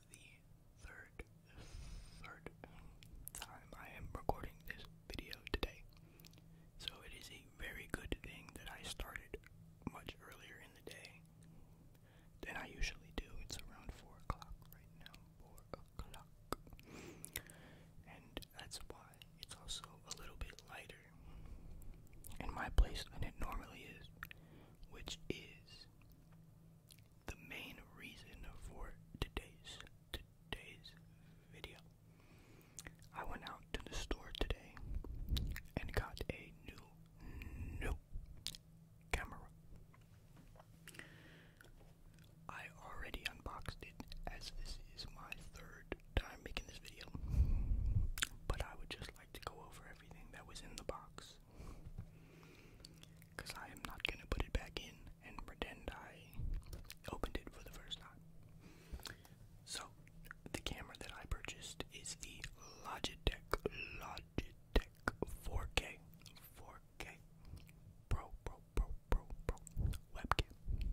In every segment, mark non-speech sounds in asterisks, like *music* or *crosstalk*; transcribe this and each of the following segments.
the third, third time I am recording this video today. So it is a very good thing that I started much earlier in the day than I usually do. It's around 4 o'clock right now, 4 o'clock. And that's why it's also a little bit lighter in my place than it normally is, which is the main reason for today's today's video. I went out to the store today and got a new new camera. I already unboxed it as this is my third time making this video. But I would just like to go over everything that was in the box because I am not going to put it back in and pretend I opened it for the first time. So, the camera that I purchased is the Logitech, Logitech 4K, 4K Pro, Pro, Pro, Pro, Pro webcam.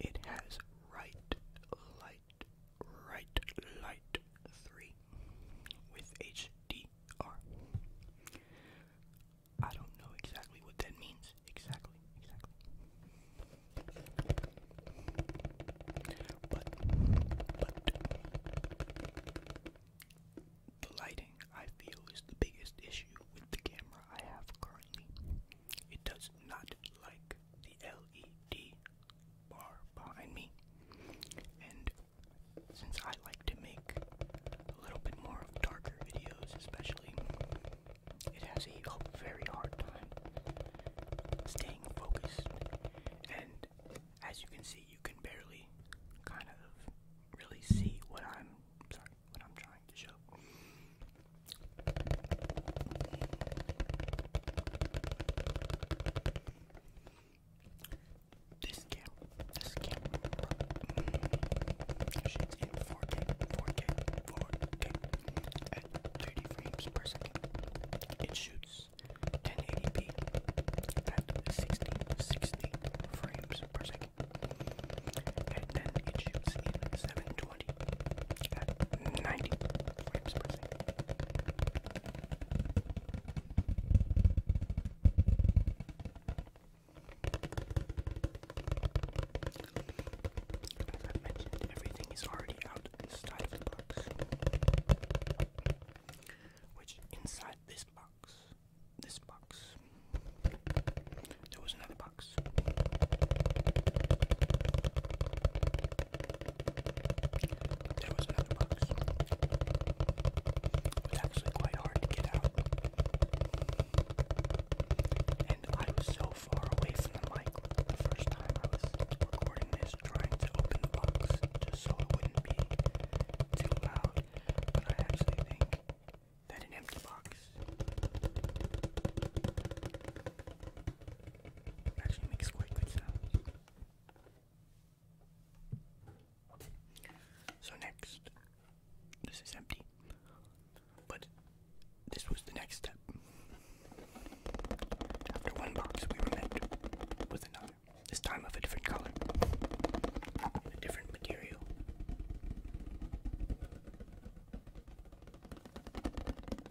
It has right light right light 3 with HDR. I don't know exactly what that means. Exactly, exactly. But, but, the lighting I feel is the biggest issue with the camera I have currently. It does not like the LED bar behind me. And since I like to make a little bit more of darker videos, especially, it has a very hard time staying focused. And as you can see, you can barely kind of really see what I'm sorry, what I'm trying to show. This camera, this camera, shoots in 4K, 4K, 4K at 30 frames per second. It shoots 1080p at 60, 60 frames per second. And then it 720 90 frames per second. As i mentioned, everything is already out inside the box. Which inside this box, this box, there was another box. There was another box. It was actually quite hard to get out. And I was so far away from the mic the first time I was recording this, trying to open the box just so it wouldn't be too loud. But I actually think that an empty box actually makes quite good sounds. So next, this is empty, but this was the next step. After one box, we met with another, this time of a different color, a different material.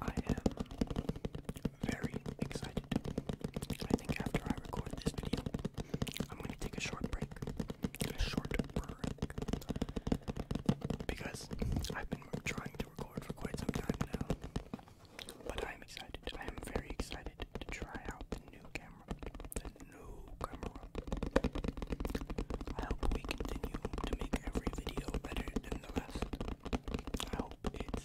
I am very excited. I think after I record this video, I'm going to take a short break. A short break. Because I've been trying to record for quite some time now. But I am excited. I am very excited to try out the new camera camera, camera. I hope we continue to make every video better than the last. I hope it's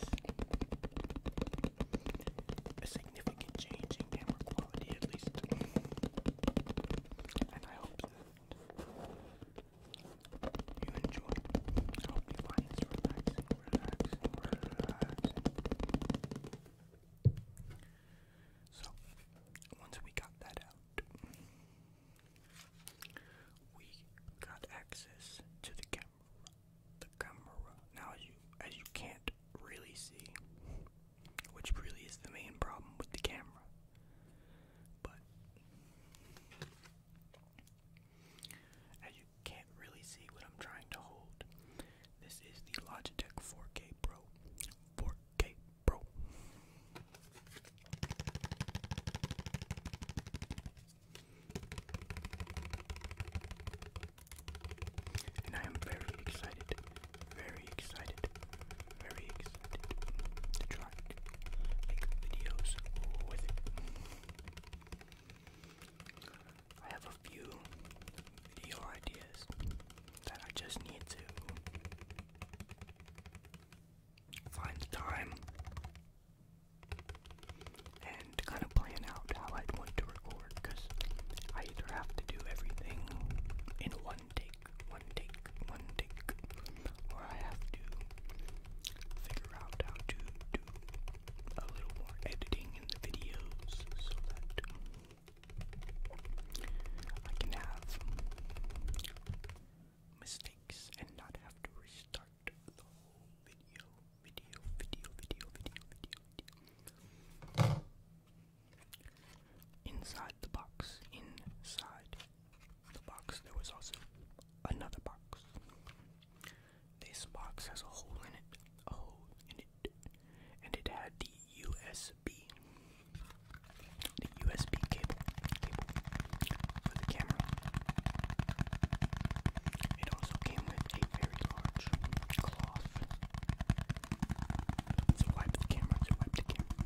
a significant change in camera quality at least. And I hope you enjoy. I hope you find this relaxing. So, once we got that out, we got access to the camera. The camera. Now, as you as you can't really see, which really is the main problem with the camera, but as you can't really see what I'm trying to hold, this is the Logitech 4K Pro. 4 bro. And I am very excited, very excited, very excited to try make videos with it. I have a few video ideas that I just need to find the time and kind of plan out how I'd want to record because I either have to do everything in one take, one take, one take, or I have to figure out how to do a little more editing in the videos so that I can have mistakes and not have to restart the whole video, video, video, video, video, video, video. Inside the box, inside the box, there was also another box. This box has a hole in it, a hole in it and it had the USB the USB cable cable for the camera. It also came with a very large cloth to wipe the camera, to wipe the camera.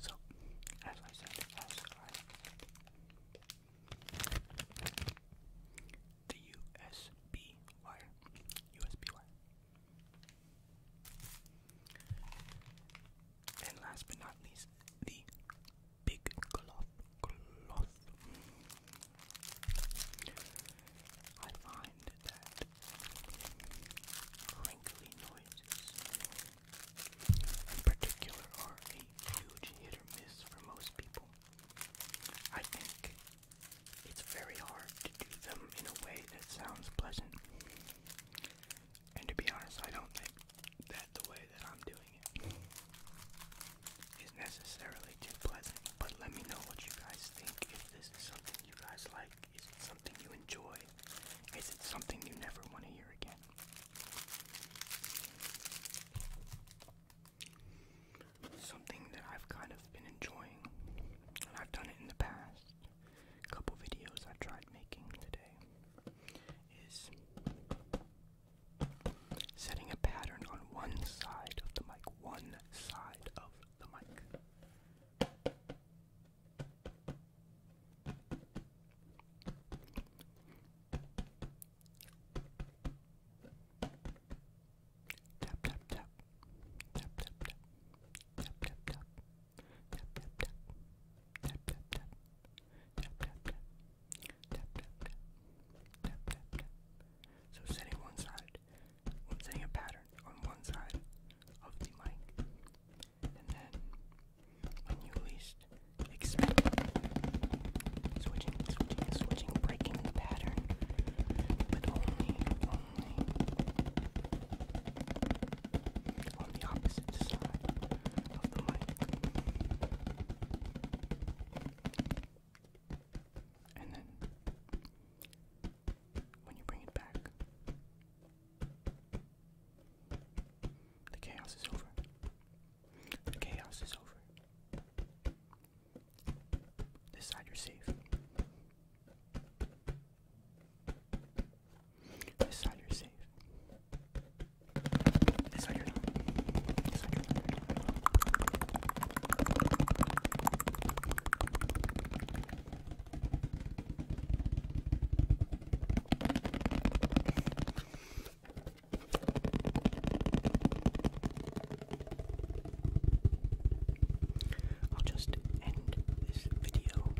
So, as I said, the USB wire, USB wire. And last but not least, the big cloth cloth. I find that crinkly noises in particular are a huge hit or miss for most people. I think it's very hard to do them in a way that sounds pleasant. And to be honest, I don't think that the way that I'm doing it is necessarily too pleasant. But let me know what you guys think. If this is something you guys like, is it something you enjoy? Is it something you never want to hear again? Something that I've kind of been enjoying, and I've done it in the past. A couple videos I tried making today is setting a pattern on one side of the mic, one side of the mic. Tap tap tap. Tap tap tap. Tap tap tap so setting one side i setting a pattern on one side of the mic and then when you least expect switching switching switching breaking pattern but only on the opposite side the And then when you bring it back, the chaos is over. The chaos is over. This side you're safe. This side you're safe. This side you're not. This side you're not. I'll just end this video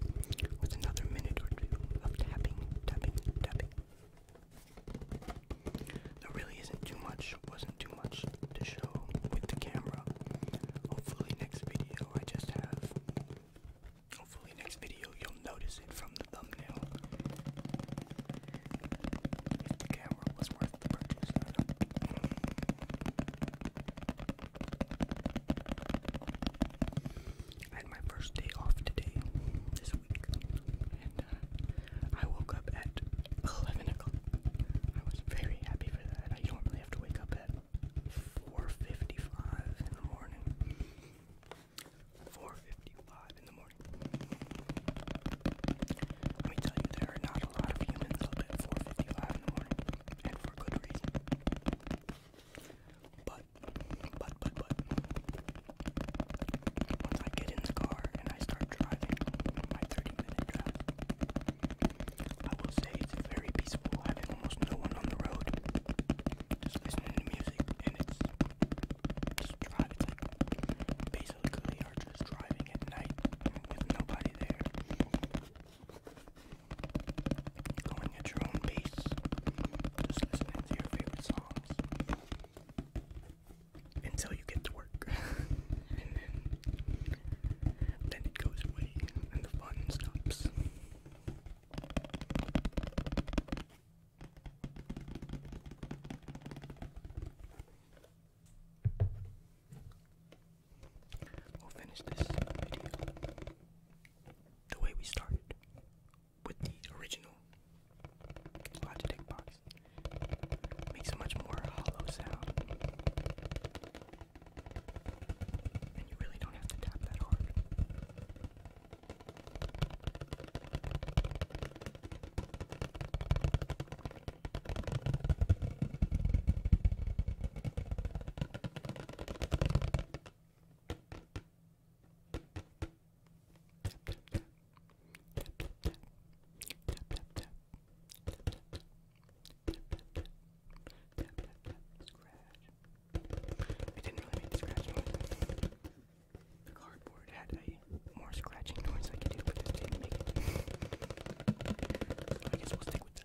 with another minute or two of tapping, tapping, tapping. There really isn't too much, wasn't too much to show with the camera. Hopefully next video I just have, hopefully next video you'll notice it from the thumbnail. the camera was worth the purchase, I had my first day off today, this week, and uh, I woke up at 11 o'clock. I was very happy for that. I don't really have to wake up at 4.55 in the morning. 4.55 in the morning. Let me tell you, there are not a lot of humans up at 4.55 in the morning, and for good reason. But, but, but, but, once I get in the car and I start driving my 30 minute drive, I will say it's very peaceful having almost no one on the road. Just listening to music and it's just drive. It's like are just driving at night with nobody there going at your own pace, just listening to your favorite songs until you get to work, *laughs* and then then it goes away and the fun stops. We'll finish this video the way we started with the original Logitech box. Makes a much more hollow sound. And you really don't have to tap that hard. It didn't really make the scratch noise. The cardboard had a more scratching noise I could do, but this didn't make it. So I guess we'll stick with that.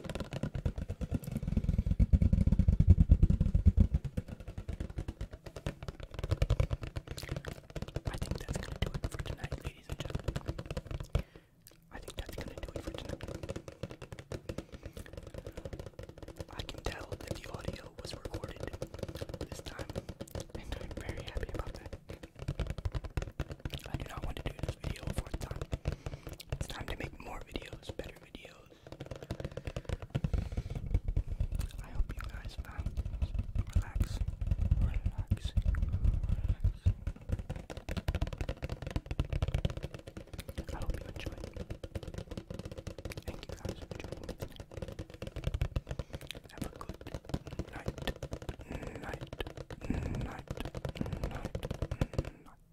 I think that's gonna do it for tonight, ladies and gentlemen. I think that's gonna do it for tonight. I can tell that the audio was recorded this time, and I'm very happy about that. I want to do this video a fourth time. It's time to make more videos, better videos, I hope you guys found this relaxing, I hope you enjoyed Thank you guys for joining Have a good night, night, night, night, night.